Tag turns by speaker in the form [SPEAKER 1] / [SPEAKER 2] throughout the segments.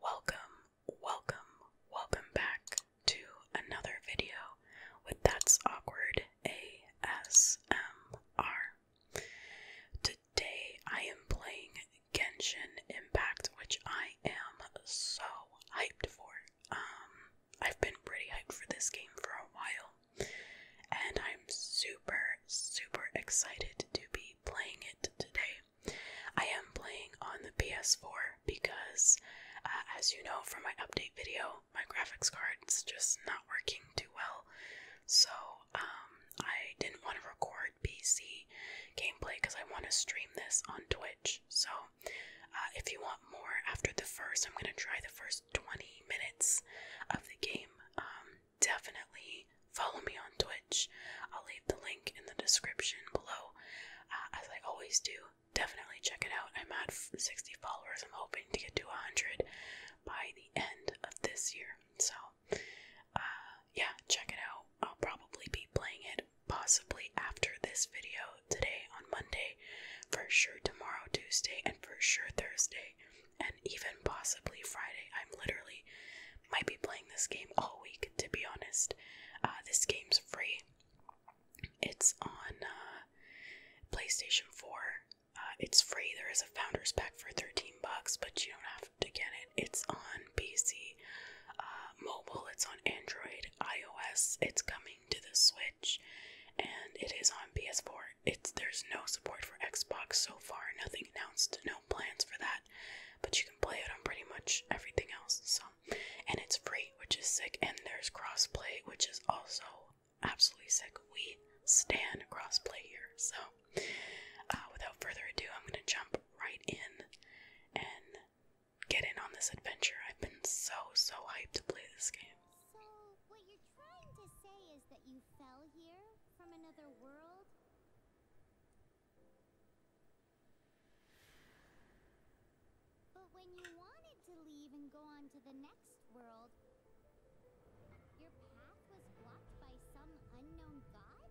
[SPEAKER 1] Welcome, welcome, welcome back to another video with That's Awkward ASMR today I am playing Genshin Impact, which I am so hyped for. Um, I've been pretty hyped for this game for a while, and I'm super, super excited to be playing it today. I am playing on the PS4 because, uh, as you know from my update video, my graphics card is just not working too well. So, um, I didn't want to record PC gameplay because I want to stream this on Twitch. So, uh, if you want more after the first, I'm going to try the first 20 minutes of the game. Um, definitely follow me on Twitch. I'll leave the link in the description below. Uh, as I always do, definitely check it out. I'm at 60 followers. I'm hoping to get to 100 by the end of this year. So, uh, yeah, check it out. I'll probably be playing it possibly after this video today on Monday, for sure tomorrow, Tuesday, and for sure Thursday, and even possibly Friday. I'm literally might be playing this game all week, to be honest. Uh, this game's free. It's on uh, PlayStation 4. it's free. There is a founder's pack for 13 bucks, but you don't have to get it. It's on PC, uh, mobile, it's on Android, iOS, it's coming to the Switch, and it is on PS4. It's There's no support for Xbox so far, nothing announced, no plans for that, but you can play it on pretty much everything else. So, And it's free, which is sick, and there's crossplay, which is also absolutely sick. We stand crossplay here. So, uh, without further ado, I'm going to jump right in and get in on this adventure. I've been so, so hyped to play this game. So,
[SPEAKER 2] what you're trying to say is that you fell here from another world? But when you wanted to leave and go on to the next world, your path was blocked by some unknown god?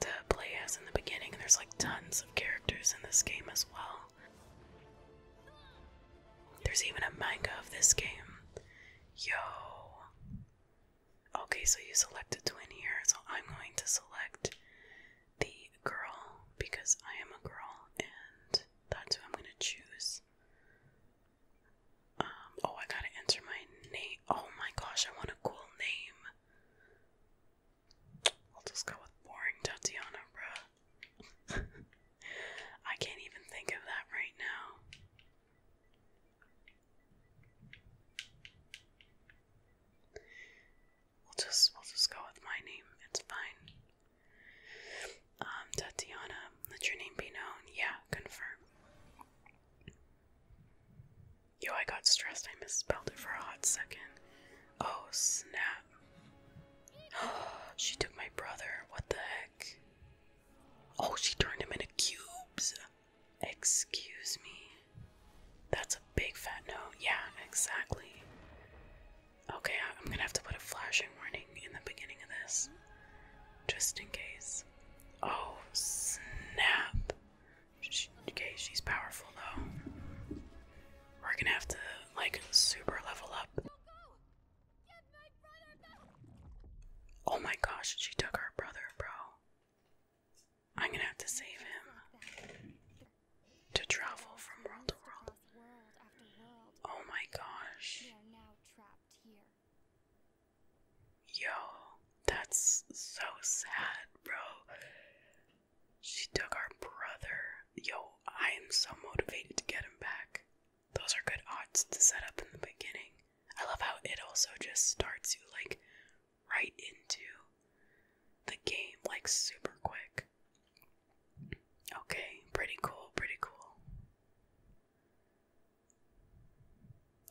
[SPEAKER 1] To play as in the beginning. And there's like tons of characters in this game as well. There's even a manga of this game. Yo. Okay, so you select a twin here, so I'm going to select the girl because I am a girl and that's who I'm going to choose. Um, oh, I gotta enter my name. Oh my gosh, I want a cool name. I'll just go with boring Tatiana, bro. I can't even think of that right now. We'll just we'll just go with my name. It's fine. Um, Tatiana, let your name be known. Yeah, confirm. Yo, I got stressed. I misspelled it for a hot second. Oh, snap. she took my brother. What the heck? Oh, she turned him into cubes. Excuse me. That's a big fat no. Yeah, exactly. Okay, I'm gonna have to put a flashing warning in the beginning of this. Just in case. Oh, snap
[SPEAKER 3] okay, she's powerful though. We're gonna have to like
[SPEAKER 1] super level up. oh my gosh, she took our brother, bro. I'm gonna have to save him to travel from world to world. Oh my gosh. Yo, that's so sad, bro. She took our brother. Yo, I am so motivated to get him back. Those are good odds to set up in the beginning. I love how it also just starts you like right into the game like super quick. Okay, pretty cool, pretty cool.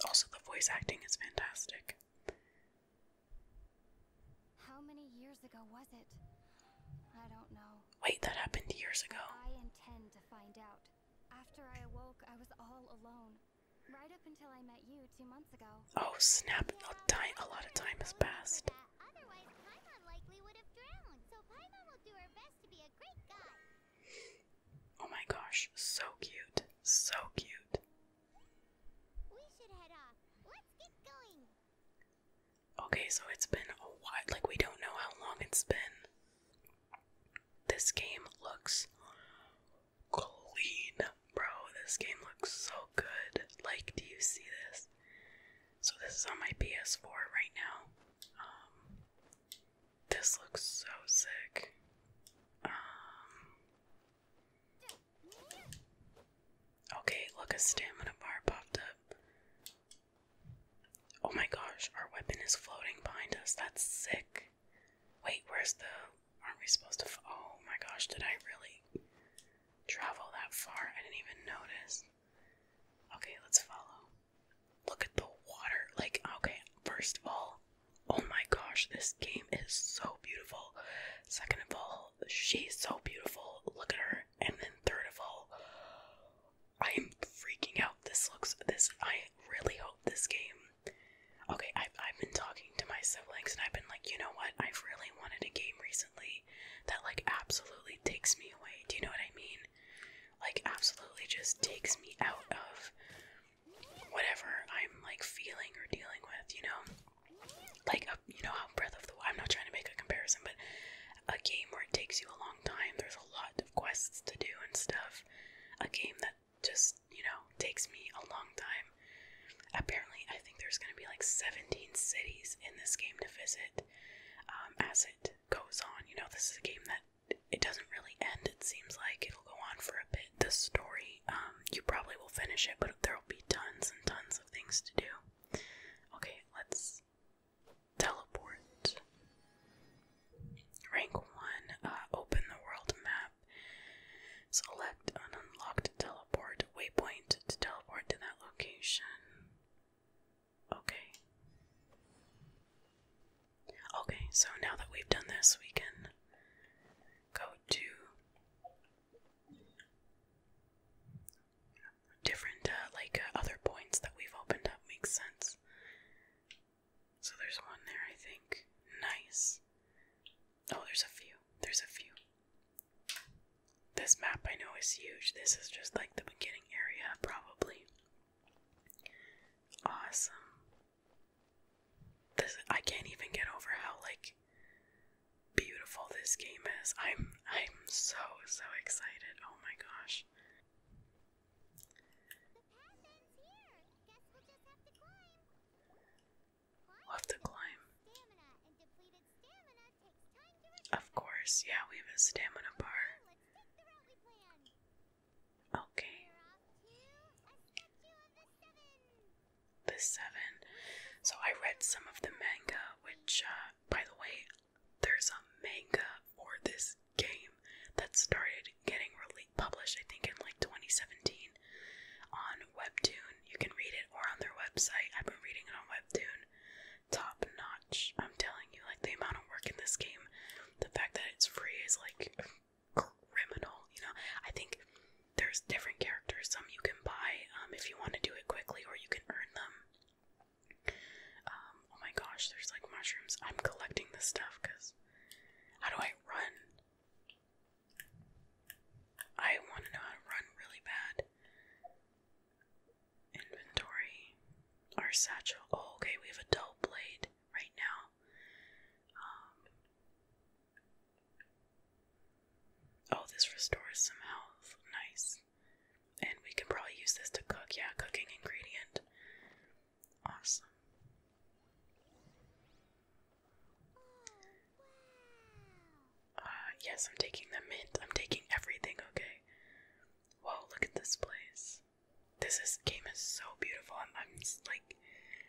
[SPEAKER 1] Also, the voice acting is fantastic.
[SPEAKER 3] How many
[SPEAKER 2] years ago was it? Wait, that happened years ago. I intend to find out. After I awoke, I was all alone. Right up until I met you two months ago. Oh snap! A, lot of time has passed.
[SPEAKER 1] Oh my gosh! So cute. So cute. Okay, so it's been a while. Like, we don't know how long it's been. This game looks clean, bro. This game looks so good. Like, do you see this? So, this is on my PS4 right now. Um, this looks so sick. Um, Okay, look, a stamina bar popped up. Oh my gosh, our weapon is floating behind us. That's sick. Wait, where's the. Aren't we supposed to. Oh my gosh, did I really travel that far? I didn't even notice. Okay, let's follow. Look at the water. Like, okay, first of all, Oh my gosh, this game is so beautiful. Second of all, she's so beautiful. Look at her. And then third of all, I am freaking out. This looks this I really hope this game. Okay, I've I've been talking to my siblings and I've been like, you know what? I've really wanted a game recently that like absolutely takes me away. Do you know what I mean? Like absolutely just takes me out of whatever I'm like feeling or dealing with, you know? Like, a, you know how Breath of the I'm not trying to make a comparison, but a game where it takes you a long time, there's a lot of quests to do and stuff. A game that just, you know, takes me a long time. Apparently, I think there's gonna be like 17 cities in this game to visit um, as it goes on. You know, this is a game that it doesn't really end, it seems like it'll go on for a bit. The story um, you probably will finish it, but there'll be tons and tons of things to do. Okay, let's teleport. Rank one, uh, open the world map. Select an unlocked teleport waypoint to teleport to that location. Okay. Okay, so now that we've done this, we can go to different uh, like uh, other points that we've opened up makes sense. So there's one there, I think. Nice. Oh, there's a few. There's a few. This map I know is huge. This is just like the beginning area, probably. Awesome. This I can't even get over how like beautiful this game is. I'm I'm so so excited. Oh my gosh.
[SPEAKER 3] We'll have to climb.
[SPEAKER 1] Of course, yeah, we have a stamina bar. Okay the seven. So I read some of the manga, which, uh, by the way, there's a manga for this game that started getting really published, I think, in like 2017 on Webtoon. You can read it or on their website. I've been reading it on Webtoon. Top notch. I'm telling you, like the amount of work in this game, the fact that it's free is like criminal, you know. I think there's different characters. Some you can buy um, if you want to do it quickly, or you can earn them. Um, oh my gosh, there's like mushrooms. I'm collecting this stuff because how do I run? I want to know how to run really bad. Inventory. Our satchel. Oh, okay, we have a dull blade right now. Um, Oh, this restores some health. Nice. And we can probably use this to cook. Yeah, cooking ingredient. Awesome. Uh, yes, I'm taking the mint. I'm taking everything, okay? Whoa, look at this place. This is, game is so beautiful. I'm, like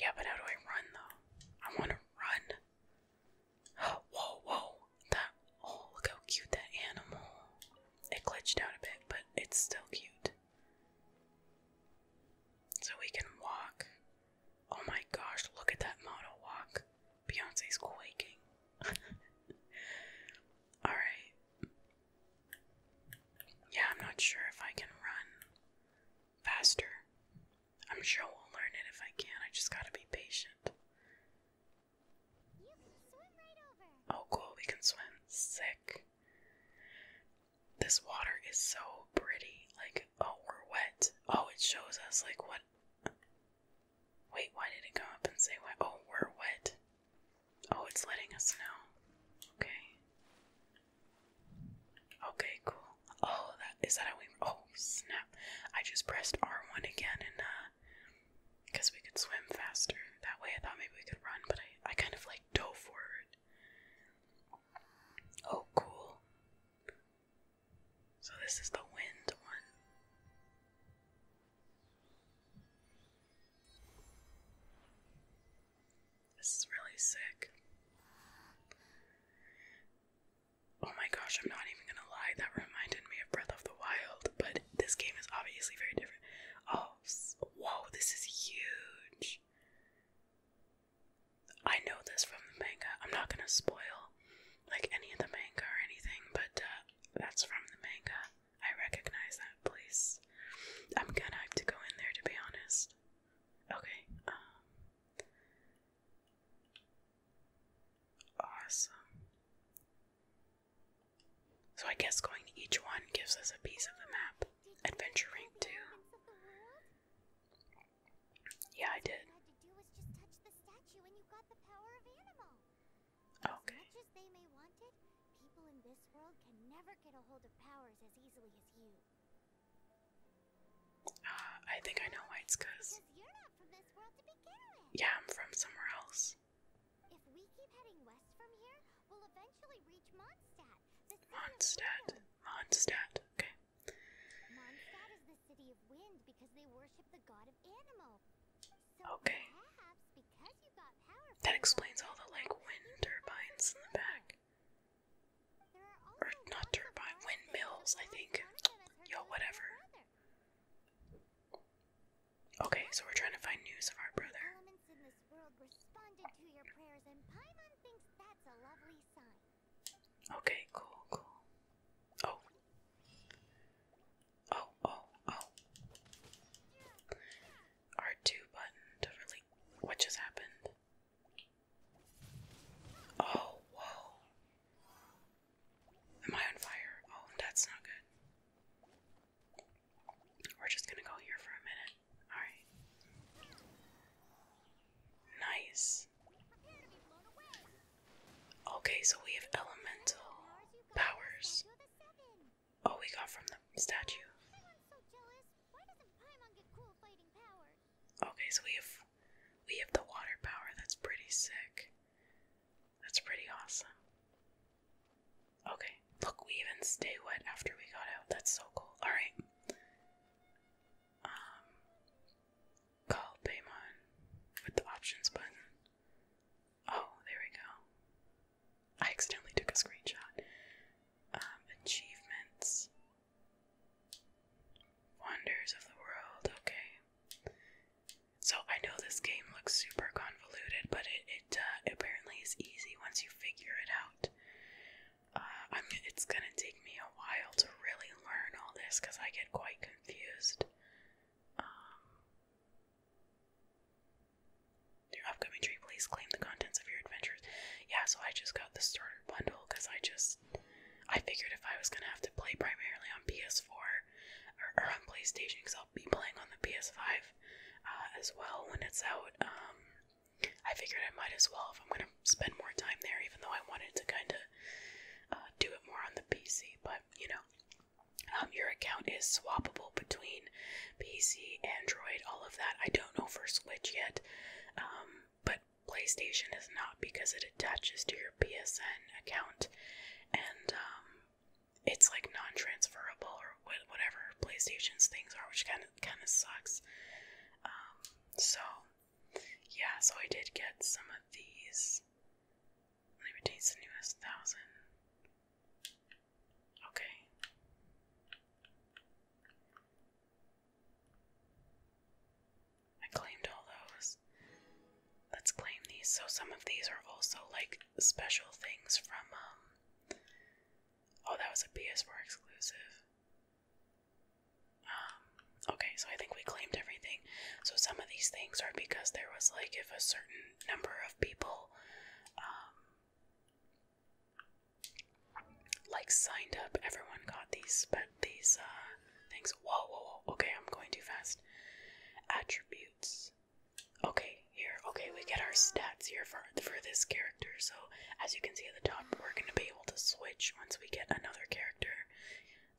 [SPEAKER 1] Yeah, but how do I run though? I want to run. Oh, whoa, whoa! That oh, look how cute that animal. It glitched out a bit, but it's still cute. So we can walk. Oh my gosh! Look at that model walk. Beyonce's quaking. All right. Yeah, I'm not sure if I can run faster. I'm sure we'll learn it if I can. I just gotta be patient. Oh, cool. We can swim. Sick. This water is so pretty. Like, oh, we're wet. Oh, it shows us, like, what. Wait, why did it come up and say wet? Oh, we're wet. Oh, it's letting us know. Okay. Okay, cool. Oh, that is that how we? Oh, snap! I just pressed R one again, and uh, because we could swim faster that way. I thought maybe we could run, but I I kind of like dove forward. Oh, cool. So this is the wind one. This is really sick. Oh my gosh, I'm not even gonna lie, that reminded me of Breath of the Wild, but this game is obviously very different. Oh, whoa, this is huge. I know this from the manga. I'm not gonna spoil like any of the manga or anything, but uh, that's from the manga. I recognize that place. I'm gonna have to go in there to be honest. Okay, um, Awesome. So I guess going to each one gives us a piece of the map. Adventure Ring 2. Yeah, I did. Okay.
[SPEAKER 2] People in this world can never get a hold of powers
[SPEAKER 1] as easily as you. Uh, I think I know why it's cause. Because you are not from this world to begin with. Yeah, I'm from somewhere else.
[SPEAKER 2] If we keep heading west from here, we'll eventually
[SPEAKER 1] reach Mondstadt. Mondstadt.
[SPEAKER 2] Mondstadt. Okay. Mondstadt is the city of wind because they worship the god of animal. okay. That explains all the like
[SPEAKER 1] wind turbines in the back. Or not turbine, windmills, I think. Yo, whatever. Okay, so we're trying to find news of our brother.
[SPEAKER 3] Okay, cool, cool. Oh.
[SPEAKER 1] Oh, oh, oh. R2 button to really. What just happened? Oh, whoa. Am I on fire? Oh, that's not good. We're just gonna go here for a minute. Alright. Nice. Okay, so we have elemental powers. Oh, we got from the statue. Okay, so we have we have the water power. That's pretty sick. That's pretty awesome. Okay, look, we even stay wet after we got out. That's so cool. All right. Um, call Paymon with the options button. Oh, there we go. I accidentally took a screenshot. Um, achievements. Wonders of the world, okay. So I know this game looks super convoluted, but it, uh, apparently is easy once you figure it out. Uh, I'm, it's gonna take me a while to really learn all this because I get quite confused. Um, your upcoming tree, please claim the contents of your adventures. Yeah, so I just got the starter bundle because I just I figured if I was gonna have to play primarily on PS4 or, on PlayStation, because I'll be playing on the PS5 uh, as well when it's out. Um, I figured I might as well if I'm gonna spend more time there, even though I wanted to kind of uh, do it more on the PC. But you know, um, your account is swappable between PC, Android, all of that. I don't know for Switch yet, um, but PlayStation is not because it attaches to your PSN account and um, it's like non transferable or whatever PlayStation's things are, which kind of kind of sucks. Um, so, yeah, so I did get some of these. Let me taste the newest thousand. Okay. I claimed all
[SPEAKER 3] those. Let's claim these. So some of these are also like special things from um, Oh, that was a PS4 exclusive.
[SPEAKER 1] Um, okay, so I think we claimed everything. So some of these things are because there was like if a certain number of people um, like signed up. Everyone got these, but these uh things. Whoa, whoa, whoa. Okay, I'm going too fast. Attributes. Okay, here. Okay, we get our stats here for for this character. So as you can see at the top, we're gonna be able to switch once we get another character.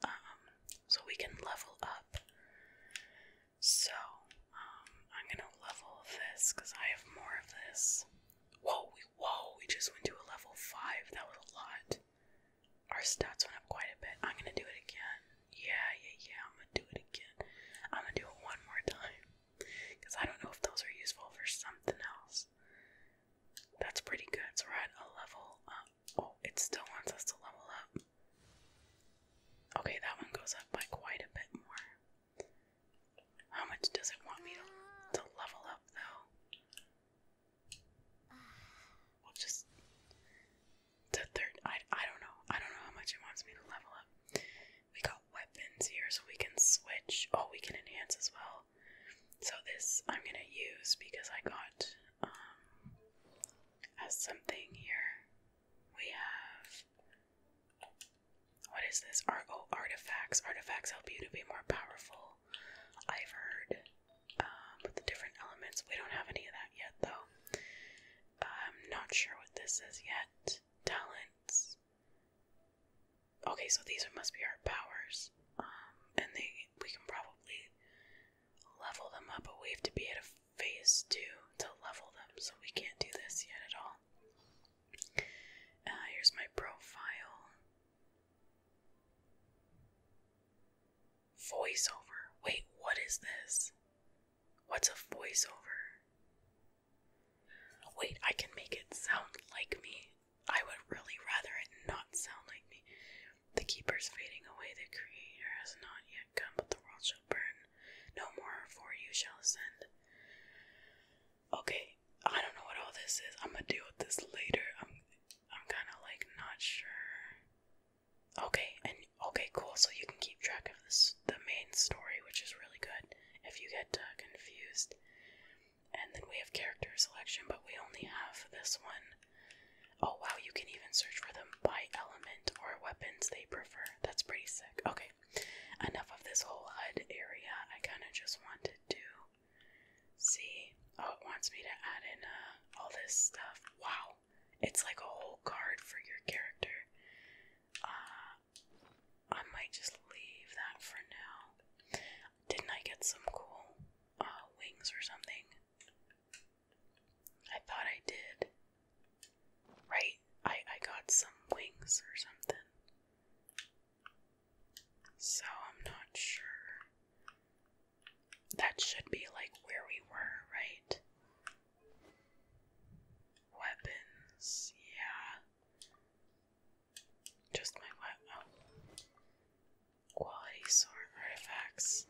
[SPEAKER 1] Um, so we can level up. So um, I'm gonna level this because I have more of this. Whoa, whoa, we just went to a level 5. That was a lot. Our stats went up quite a bit. I'm gonna do it again. Yeah, yeah, yeah, I'm gonna do it again. I'm gonna do it one more time because I don't know if those are useful for something else. That's pretty good. So we're at a level up. Oh, it still wants us to level up. Okay, that one goes up by quite a bit more. How much does it want me to, to level up, though? We'll just. To third. I, I don't know. I don't know how much it wants me to level up. We got weapons here, so we can switch. Oh, we can enhance as well. So this I'm gonna use because I got um as something here. We have what is this? Argo oh, artifacts. Artifacts help you to be more powerful. I've heard. Um, with the different elements. We don't have any of that yet, though. I'm not sure what this is yet. Talents. Okay, so these must be our powers. Um, and they we can probably level them up, but we have to be at a phase two to level them, so we can't do this yet at all. Uh, here's my profile. Voiceover. Wait, what is this? What's a voiceover? Wait, I can make it sound like me. I would really rather it not sound like me. The keeper's fading away. The creator has not yet come, but the world shall burn. No more, for you shall ascend okay, I don't know what all this is. I'm gonna deal with this later. I'm I'm kind of like not sure. Okay, and okay, cool. So
[SPEAKER 3] you can keep track of this the main story, which is really good if you get uh, confused.
[SPEAKER 1] And then we have character selection, but we only have this one. Oh wow, you can even search for them by element or weapons they prefer. That's pretty sick. Okay enough of this whole head area. I kind of just wanted to see. Oh, it wants me to add in uh, all this stuff. Wow, it's like a whole card for your character. Uh, I might just leave that for now. Didn't I get some cool uh, wings or something? I thought I did. Right? I, I got some wings or something. So I'm not sure. That should be like where we were, right? Weapons, yeah. Just my weapon. Oh. Quality sword artifacts.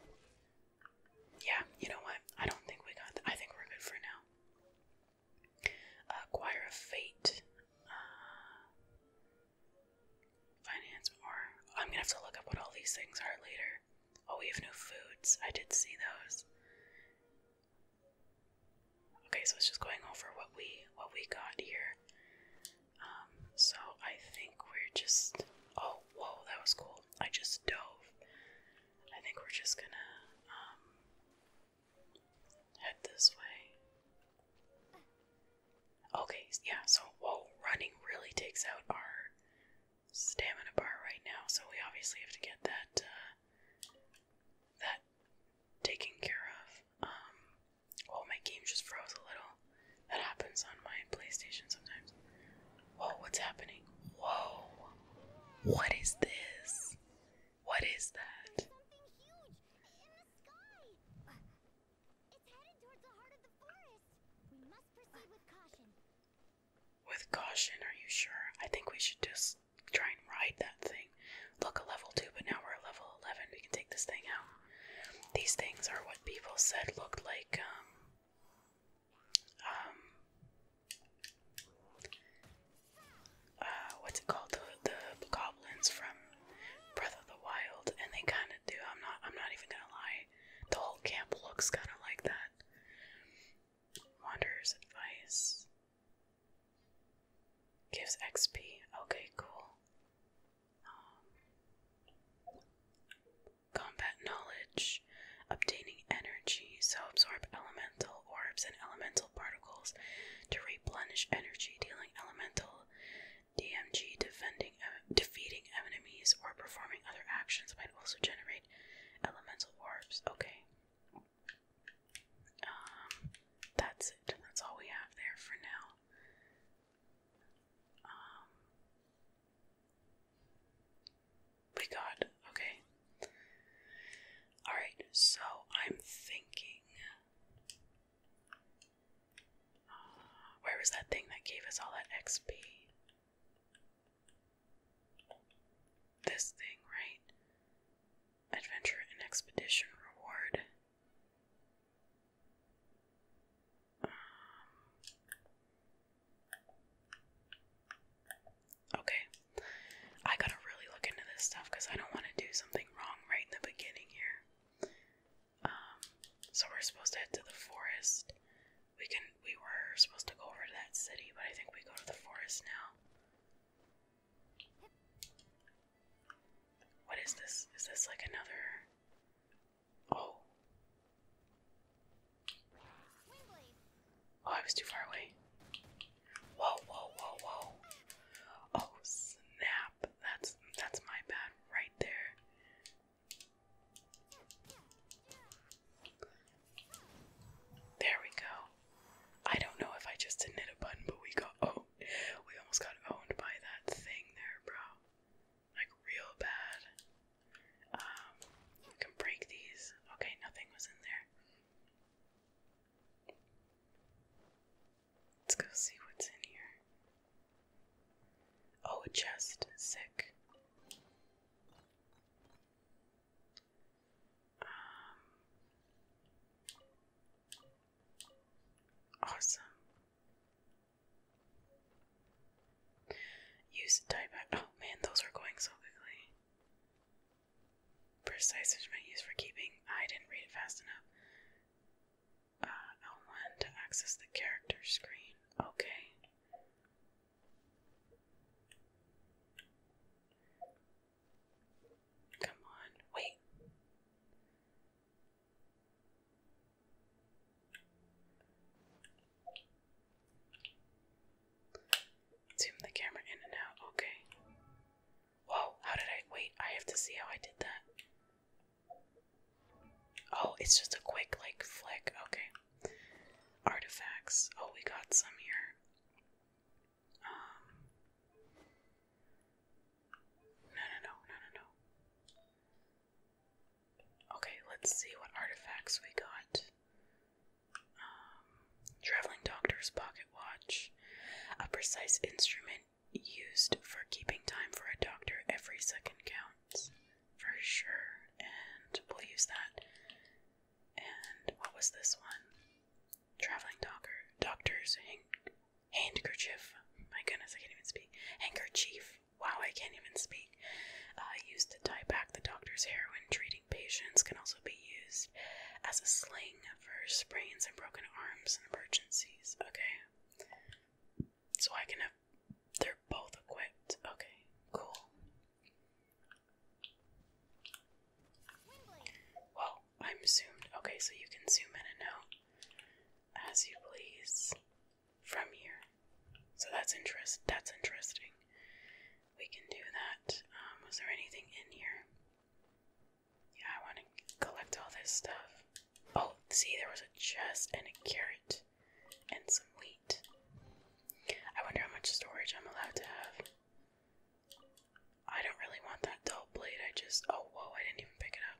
[SPEAKER 1] Yeah, you know what? I don't think we got. I think we're good for now. Uh, Choir Fate. Uh, finance more. I'm gonna have to look up what all these things are later. Oh, we have new foods. I did see those. Okay, so it's just going over what we what we got here. Um, so I think we're just. Oh, whoa, that was cool. I just dove. I think we're just gonna um Head this way. Okay, yeah, so whoa, running really takes out our stamina bar right now, so we obviously have to get that uh that taken care of. Um oh my game just froze a little. That happens on my PlayStation sometimes. Whoa, what's happening? Whoa. What is this? What is that? With caution, are you sure? I think we should just try and ride that thing. Look, a level 2, but now we're a level 11. We can take this thing out. These things are what people said looked like, um, um, uh, what's it called, the, the goblins from Breath of the Wild, and they kind of do. I'm not. I'm not even gonna lie. The whole camp looks kind of like that. Wanderer's advice gives XP. Okay, cool. Um, combat knowledge, obtaining energy, so absorb elemental orbs and elemental particles to replenish energy, dealing elemental DMG, defending, defeating enemies, or performing other actions might also generate elemental orbs. Okay. Um, that's That's all we have there for now. Um, we got okay. Alright, so I'm thinking. Uh, where was that thing that gave us all that XP? This thing, right? Adventure and Expedition Reward. Um, okay, I gotta really look into this stuff because I don't want to do something wrong right in the beginning here. Um, so we're supposed to head to the
[SPEAKER 3] forest. We can. We were supposed to go over to that city, but I think we go to the forest now.
[SPEAKER 1] What is this? Is this like another? Oh. Oh, I was too far away. Whoa, whoa, whoa, whoa. Oh snap. That's that's my bad right there. There we go. I don't know if I just didn't hit a button, but we got oh we almost got owned by that thing there, bro. Like real bad. Um we can break these. Okay, nothing was in there. Let's go see what's in here. Oh, a chest. Sick. Um, awesome. Use a Oh man, those are going so quickly precise is my use for keeping. I didn't read it fast enough. L1 uh, to access the character screen. Okay.
[SPEAKER 3] Come on, wait.
[SPEAKER 1] Zoom the camera in and out. Okay. Whoa, how did I wait? I have to see how I did that. Oh, it's just a quick, like, flick. Okay. Artifacts. Oh, we got some here. Um. No, no, no, no, no, no. Okay, let's see what artifacts we got. Um traveling doctor's pocket watch, a precise instrument used for keeping time for a doctor. Every second counts for sure, and we'll use that. And what was this one? Traveling doctor, doctor's handkerchief. My goodness, I can't even speak. Handkerchief. Wow, I can't even speak. Uh, used to tie back the doctor's hair when treating patients, can also be used as a sling for sprains and broken arms and emergencies. Okay. So I can have. They're both equipped. Okay, cool. Well, I'm zoomed. Okay, so you can zoom in and out as you please from here. So that's interest. That's interesting. We can do that. Um, was there anything in here? Yeah, I want to collect all this stuff. Oh, see, there was a chest and a carrot and some wheat. I wonder how much storage I'm allowed to have. I don't really want that dull blade. I just. Oh, whoa, I didn't even pick it up.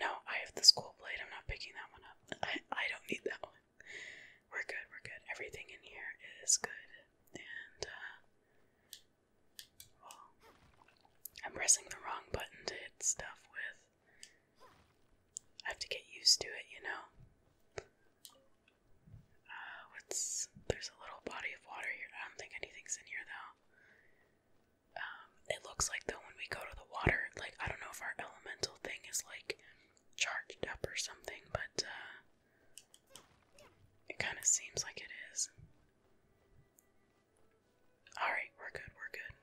[SPEAKER 1] No, I have the school blade. I'm not picking that one up. I, I don't need that one. We're good, we're good. Everything in here is good. And, uh, well, I'm pressing the wrong button to hit stuff with. I have to get used to it, you know? Uh, what's. There's a little body of water here. I don't think anything's in here, though. Um, it looks like, though, when we go to the water, like, I don't know if our elemental thing is, like, charged up or something, but, uh, it kind of seems like it is. Alright, we're good, we're good.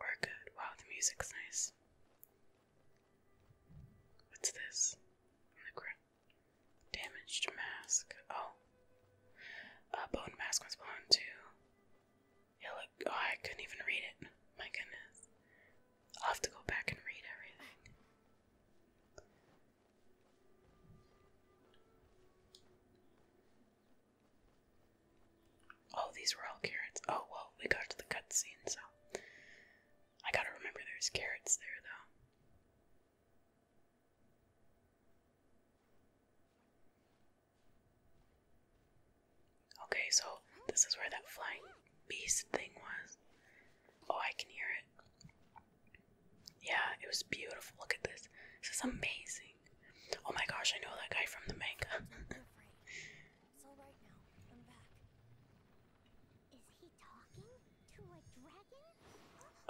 [SPEAKER 1] We're good. Wow, the music's nice.
[SPEAKER 3] What's this?
[SPEAKER 1] the ground. Damaged mask. Oh. A bone mask was blown too. It looked. Oh, I couldn't even read it. My goodness. I'll have to go back and read everything. Oh, these were all carrots. Oh, well, we got to the cutscene, so. I gotta remember there's carrots there, though. Okay, so this is where that flying beast thing was. Oh, I can hear it. Yeah, it was beautiful. Look at this. This is amazing. Oh my gosh, I know that guy from the manga.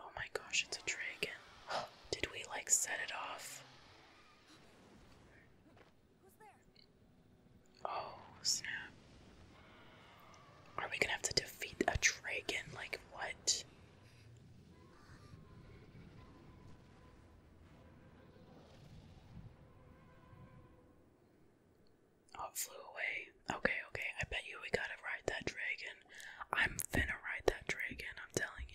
[SPEAKER 1] Oh my gosh, it's a dragon. Did we like set it off? Oh, snap. Are we gonna have to defeat a dragon? Like, what? Oh, flew away. Okay, okay. I bet you we gotta ride that dragon. I'm finna ride that dragon, I'm telling you.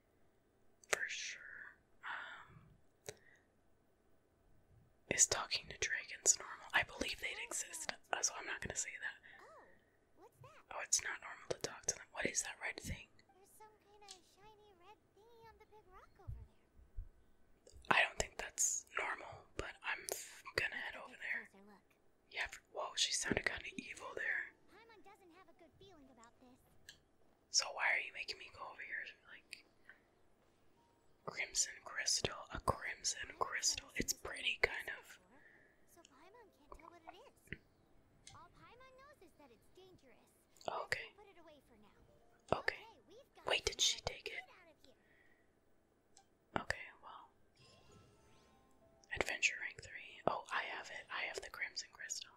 [SPEAKER 1] for sure. Um, is talking to dragons normal? I believe they'd exist, uh, so I'm not gonna say that. Oh, oh, it's not normal to talk to them. What is that red thing? There's some kind of shiny red thingy on the big rock over there. I don't think that's normal, but I'm gonna head over there. Yeah, whoa, she sounded kind of evil there. So why are you making me go over here like Crimson Crystal? A crimson crystal. It's pretty kind of
[SPEAKER 3] Okay. okay Wait, did she take it?
[SPEAKER 1] Okay, well. Adventure rank three. Oh, I have it. I have the Crimson Crystal.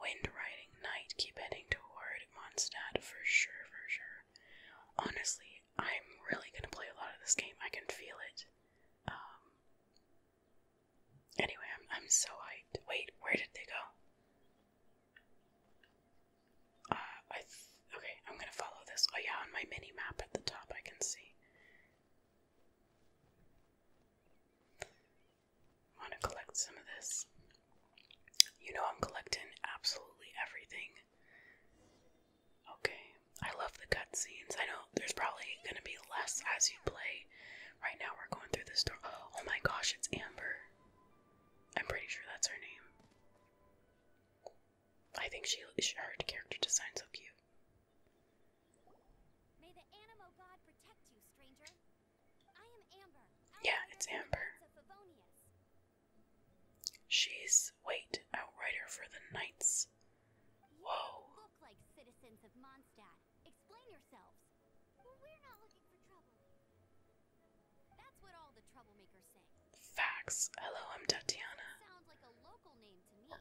[SPEAKER 1] Wind riding night, keep heading toward Mondstadt for sure, for sure. Honestly, I'm really gonna play a lot of this game. I can feel it. Um, anyway, I'm I'm so hyped. Wait, where did they go? Uh, I okay. I'm gonna follow this. Oh yeah, on my mini map at the top, I can see. I want to collect some of this. You know, I'm collecting absolutely everything.
[SPEAKER 3] Okay, I love the cutscenes. I know there's probably gonna be less as
[SPEAKER 1] you play. Right now, we're going through this door. Oh my gosh, it's Amber. I'm pretty sure that's her name. I think she her character design's so cute.
[SPEAKER 3] May the animo god protect you, stranger.
[SPEAKER 1] Yeah, it's Amber. She's wait,
[SPEAKER 2] outrider for the knights. Whoa. Look like citizens of Mondstadt. Explain yourselves. We're not looking for trouble. That's what all the troublemakers say.
[SPEAKER 1] Facts. Hello, I'm Tatiana.
[SPEAKER 2] Sounds like a local name to me.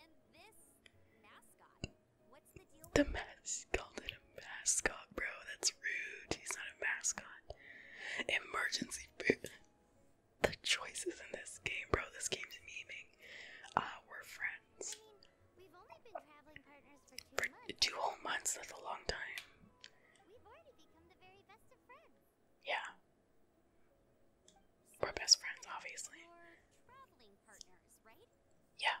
[SPEAKER 1] And this mascot. The mask called it a mascot, bro. That's rude. He's not a mascot. Emergency food. The choices in this game, bro. This game's memeing. Uh, we're friends. We've only been traveling partners for two, two whole months. That's a long time. We've already become the very best of friends. Yeah. We're best friends, obviously. Yeah.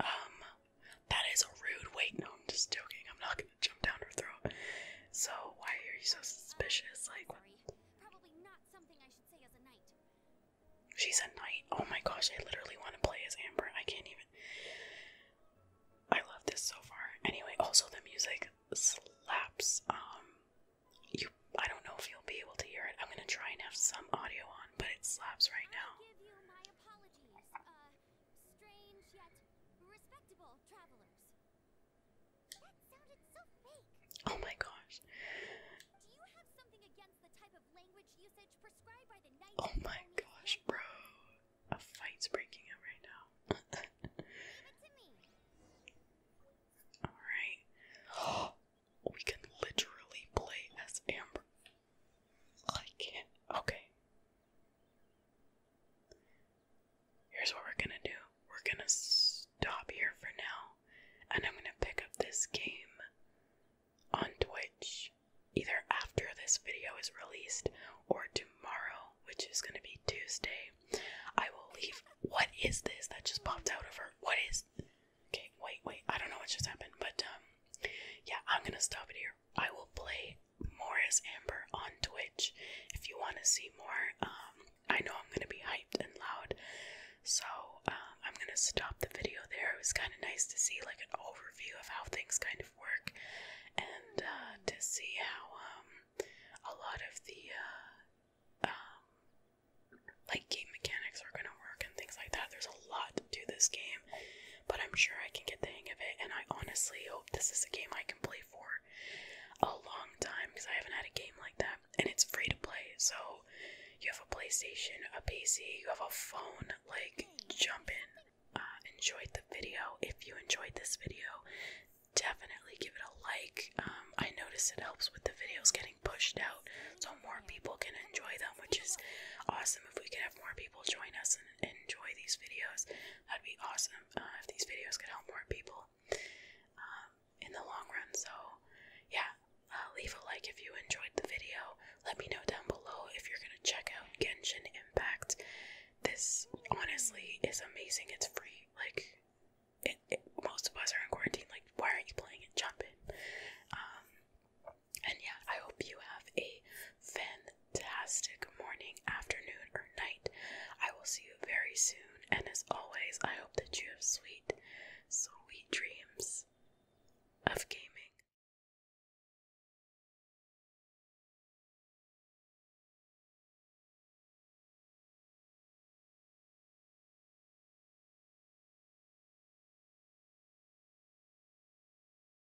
[SPEAKER 1] Um, that is a rude. Wait, no, I'm just joking. I'm not gonna jump down her throat. So why are you so suspicious? Like, She's a knight. Oh my gosh, I literally want to play as Amber. I can't even. I love this so far. Anyway, also the music slaps. Um, you. I don't know if you'll be able to hear it. I'm gonna try and have some audio on, but it slaps right now strange yet respectable travelers. That sounded so fake. Oh my gosh. Do you have something against the type of language usage prescribed by the night? Oh my gosh, bro. A fight's breaking out right now. Alright. we can literally play as Amber. I can't. Okay. Here's what we're gonna do we're gonna stop here for now, and I'm gonna pick up this game on Twitch either after this video is released or tomorrow, which is gonna be Tuesday. I will leave. What is this that just popped out of her? What is. Okay, wait, wait. I don't know what just happened, but um, yeah, I'm gonna stop it here. I will play Morris
[SPEAKER 3] Amber on Twitch if you want to see more. Um, I know I'm gonna be hyped and loud, so um, I'm gonna
[SPEAKER 1] stop the video there. It was kind of nice to see like an overview of how things kind of work, and uh, to see how um, a lot of the uh, um, like game mechanics are gonna work and things like that. There's a lot to this game, but I'm sure I can get the hang of it. And I honestly hope this is a game I can play for a long time because I haven't had a game like that. And it's free to play, so you have a PlayStation, a PC, you have a phone. Like, jump in.
[SPEAKER 3] Uh, enjoyed the video. If you enjoyed this video, definitely give it a like. Um, I noticed it helps with the videos getting pushed out so more people can enjoy them,
[SPEAKER 1] which is awesome if we can have more people join us and enjoy these videos. That'd be awesome uh, if these videos could help more people um, in the long run. So, yeah, uh, leave a like if you enjoyed the video. Let me know down below if you're gonna check out Genshin Impact. This honestly is amazing. It's free. Like, most of us are in quarantine. Like, why aren't you playing it? Jump in. Um, and yeah, I hope you have a fantastic morning, afternoon, or night. I will see you very soon. And as always, I hope that
[SPEAKER 3] you have sweet, sweet dreams of gaming.